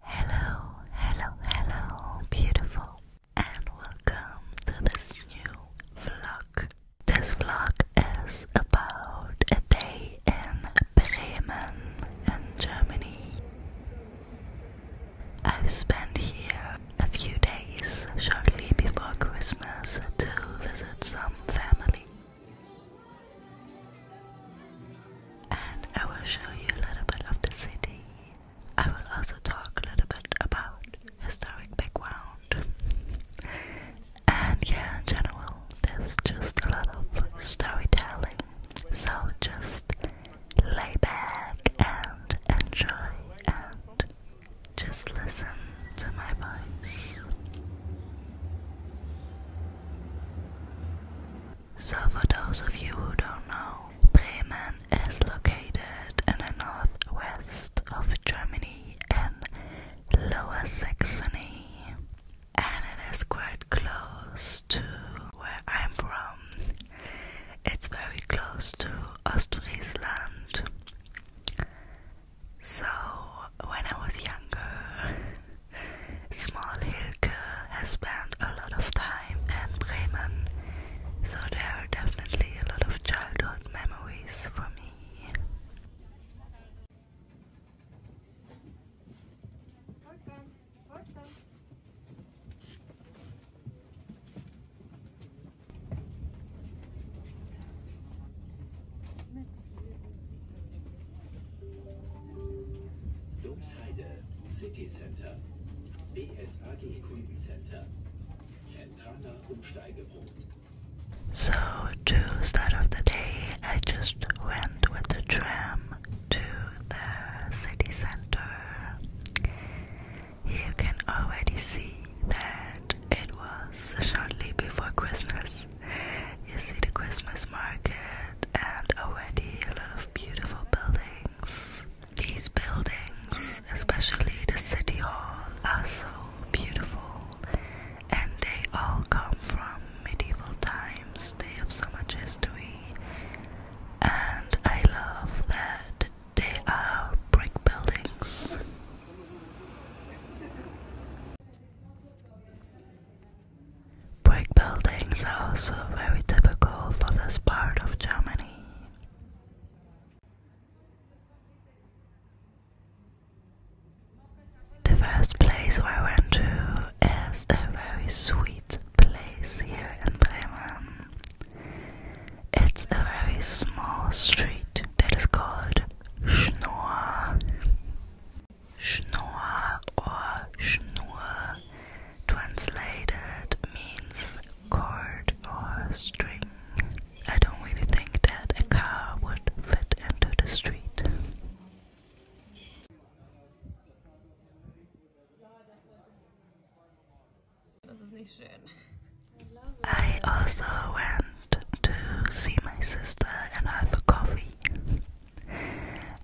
Hello, hello, hello, beautiful, and welcome to this new vlog. This vlog is about a day in Bremen, in Germany. I've spent here a few days shortly before Christmas to visit some family and I will show you a little bit of the city. I will also talk a little bit about historic background. and yeah, in general, there's just a lot of storytelling. So just lay back and enjoy and just listen to my voice. So, for those of you who don't know, Bremen is located in the northwest of Germany and Lower Saxony, and it is quite close to where I'm from. It's very close to Ostfriesland. So, when I was younger, Small Smallhilke has spent a lot of time in Bremen, so there are definitely a lot of childhood memories for me. Domsheide, City Center, BSAG Kundencenter, zentraler Umsteigepunkt. So, to start of the day, I just went with the tram to the city center. You can already see that it was shortly before Christmas. You see the Christmas market and already a lot of beautiful buildings. These buildings, especially the city hall, are so beautiful and they all come from medieval times. They have so much history and I love that they are brick buildings. Brick buildings are also very typical for this part of Germany. The first place I went to is a very sweet place here in Bremen. It's a very small street that is called Schnorr. Schnorr or Schnur translated means cord or string. I don't really think that a car would fit into the street. I also went to see my sister and have a coffee.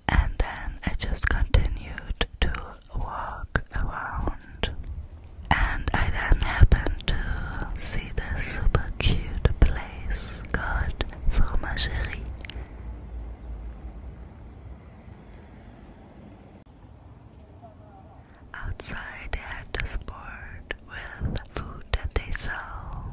And then I just continued to walk around. And I then happened to see this super cute place called Fromagerie. Outside, they had this board with food that they sell.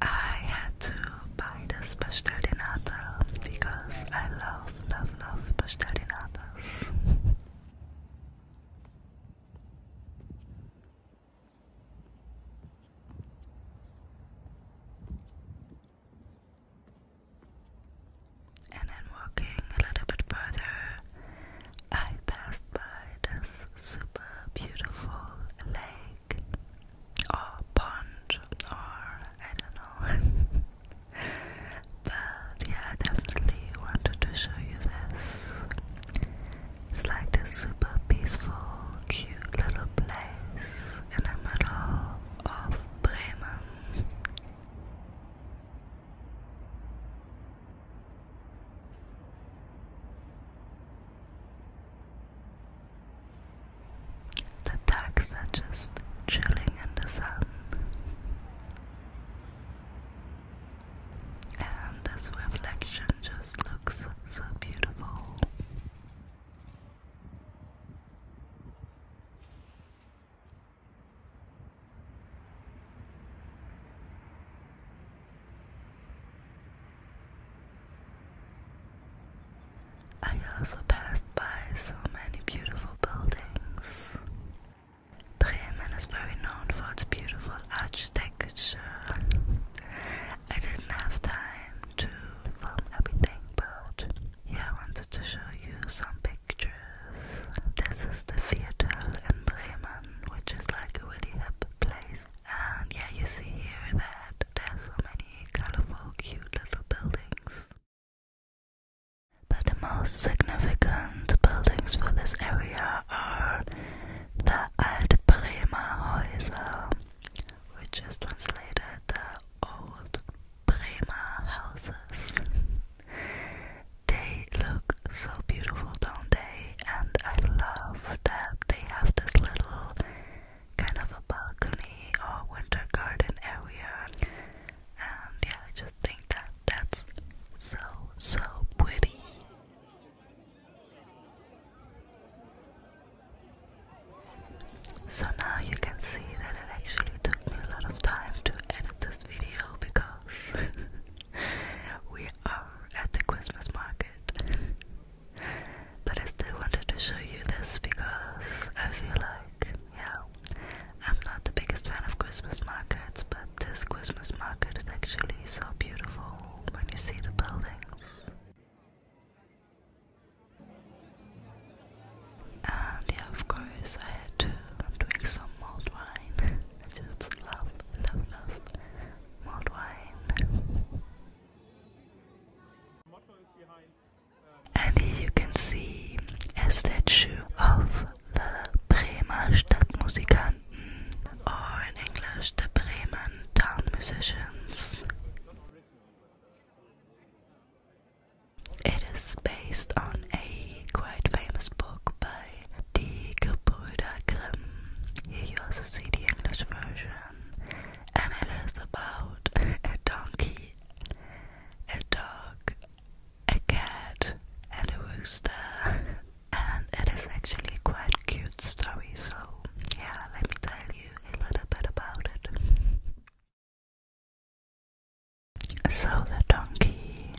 I had to buy this pastel because I love, love, love pastel And then walking a little bit further, I passed by this super beautiful lake or pond or I don't know. but yeah, I definitely wanted to show you this. It's like this super peaceful, cute little place in the middle of Bremen. The ducks are just chilling in the sun. And this reflection just looks so beautiful. I also passed by so many beautiful buildings. Bremen is very known for its beautiful architecture. I didn't have time to film everything, but I wanted to show you some pictures. This is the Viertel in Bremen, which is like a really hip place and um, yeah, you see here that there's so many colorful, cute little buildings. But the most significant buildings for this area are the Altbremer Häuser, which is translated the Old Bremer Houses. they look so beautiful, don't they? and I love that they have this little kind of a balcony or winter garden area. And yeah, I just think that that's so, so pretty. So now you can see that it actually took me a lot of time to edit this video because we are at the Christmas market. but I still wanted to show you this because I feel like, yeah, I'm not the biggest fan of Christmas markets, but this Christmas market is actually so beautiful when you see the buildings. And yeah, of course, I had to drink some malt wine. just love, love, love and here you can see a statue of the Bremer Stadtmusikanten, or in English, the Bremen Town Musicians. It is based on a quite famous book by Die Gebrüder Grimm. Here you also see the English version, and it is about a donkey, a dog, a cat, and a rooster. And it is actually quite a cute story, so yeah, let me tell you a little bit about it. So the donkey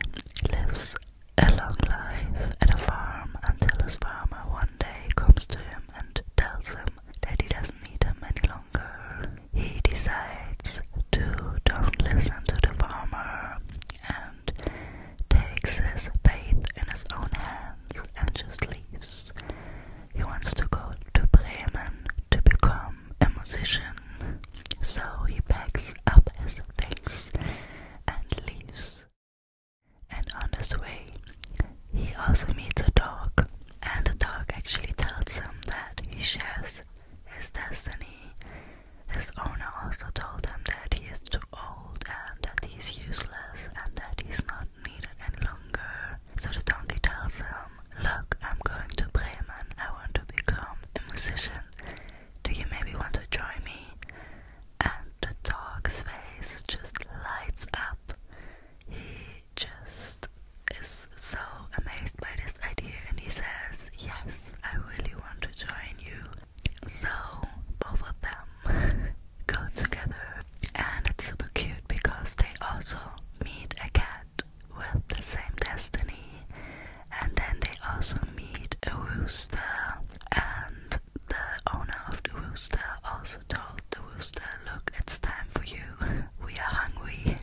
lives a long life at a farm until a farmer one day comes to him and tells him that he doesn't need him any longer. He decides to don't listen to the farmer and takes his faith in his own hands and just leaves. He wants to go to Bremen to become a musician, so he packs up his things and leaves. And on his way, he also meets a dog, and the dog actually tells him that he shares his destiny. His owner also told him that he is too old and that he is useless and that he is not needed any longer. So the donkey tells him, Look, I'm going to play, man. I want to become a musician. Do you maybe want to join me? and the dog's face just lights up. He just is so amazed by this idea and he says, Yes, I really want to join you. So both of them go together, and it's super cute because they also meet a cat with the same destiny, and then they also meet a rooster, and the owner of the rooster also told the rooster, Look, it's time for you. we are hungry.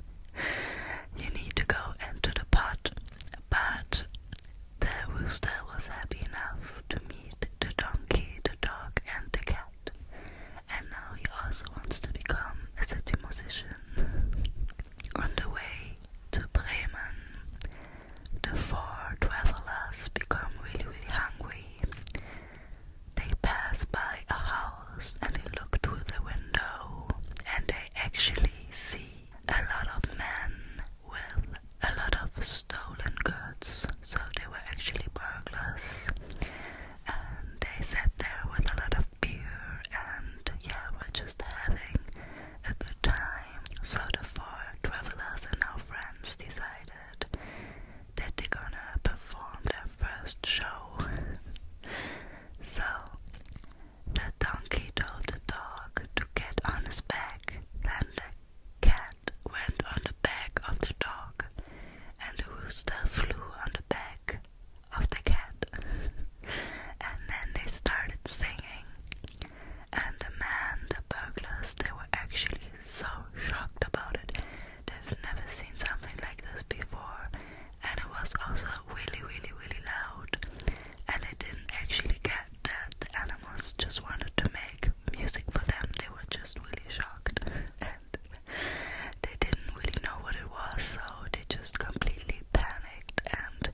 you need to go into the pot. But the rooster was happy enough to meet the donkey, the dog, and the cat. And now he also wants to become a city musician. On the way to Bremen, the four travelers become really, really hungry. They pass by a house and they look through the window and they actually see a lot of men with a lot of stolen goods. So they were actually burglars. And they sat there with a lot of beer and yeah, we're just having a good time. So the four travelers and our friends decided that they're gonna perform their first show. so the donkey told the dog to get on his back, and the cat went on the back of the dog, and the rooster flew on the back of the cat. and then they started singing and the man, the burglars, they were actually so shocked about it. They've never seen something like this before, and it was also really, really, really loud. And they didn't actually get that the animals just wanted to make music for them. They were just really shocked, and they didn't really know what it was, so they just completely panicked and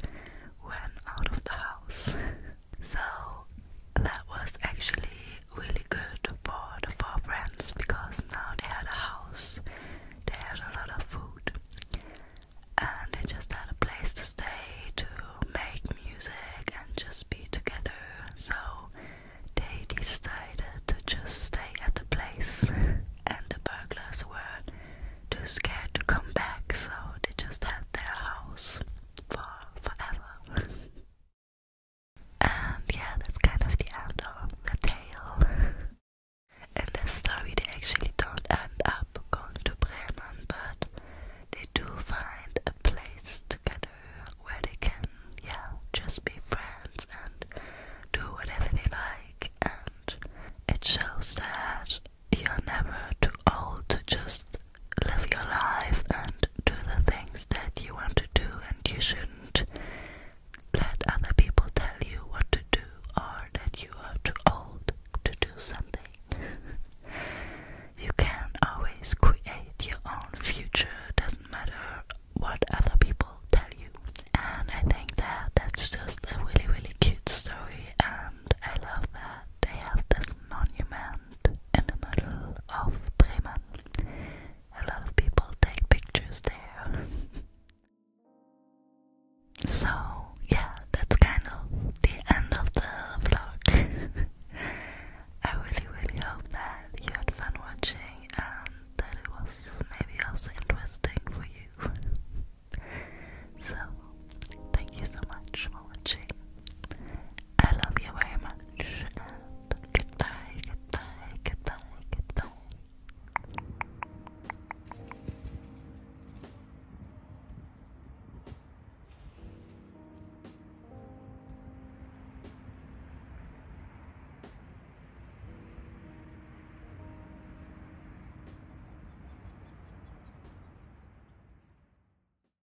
went out of the house. So that was actually really good for the four friends because now they had a house, they had a lot of food, and they just had a place to stay to make music and just be together. So they decided to just stay at the place, and the burglars were too scared to come back, so they just had their house for forever. And yeah, that's kind of the end of the tale. In this story, they actually don't end up going to Bremen, but they do find a place together where they can, yeah, just be friends and do whatever they like. And it shows that you're never too old to just live your life and do the things that you want to do, and you shouldn't let other people tell you what to do or that you are too old to do something. you can always create your own future, doesn't matter what other people tell you. And I think that that's just a really, really cute story, and I love that they have this monument in the middle of Bremen. A lot of people take pictures there. so, yeah, that's kind of the end of the vlog. I really, really hope that you had fun watching and that it was maybe also interesting for you. so, thank you so much for watching. I love you very much. goodbye, goodbye, goodbye, goodbye.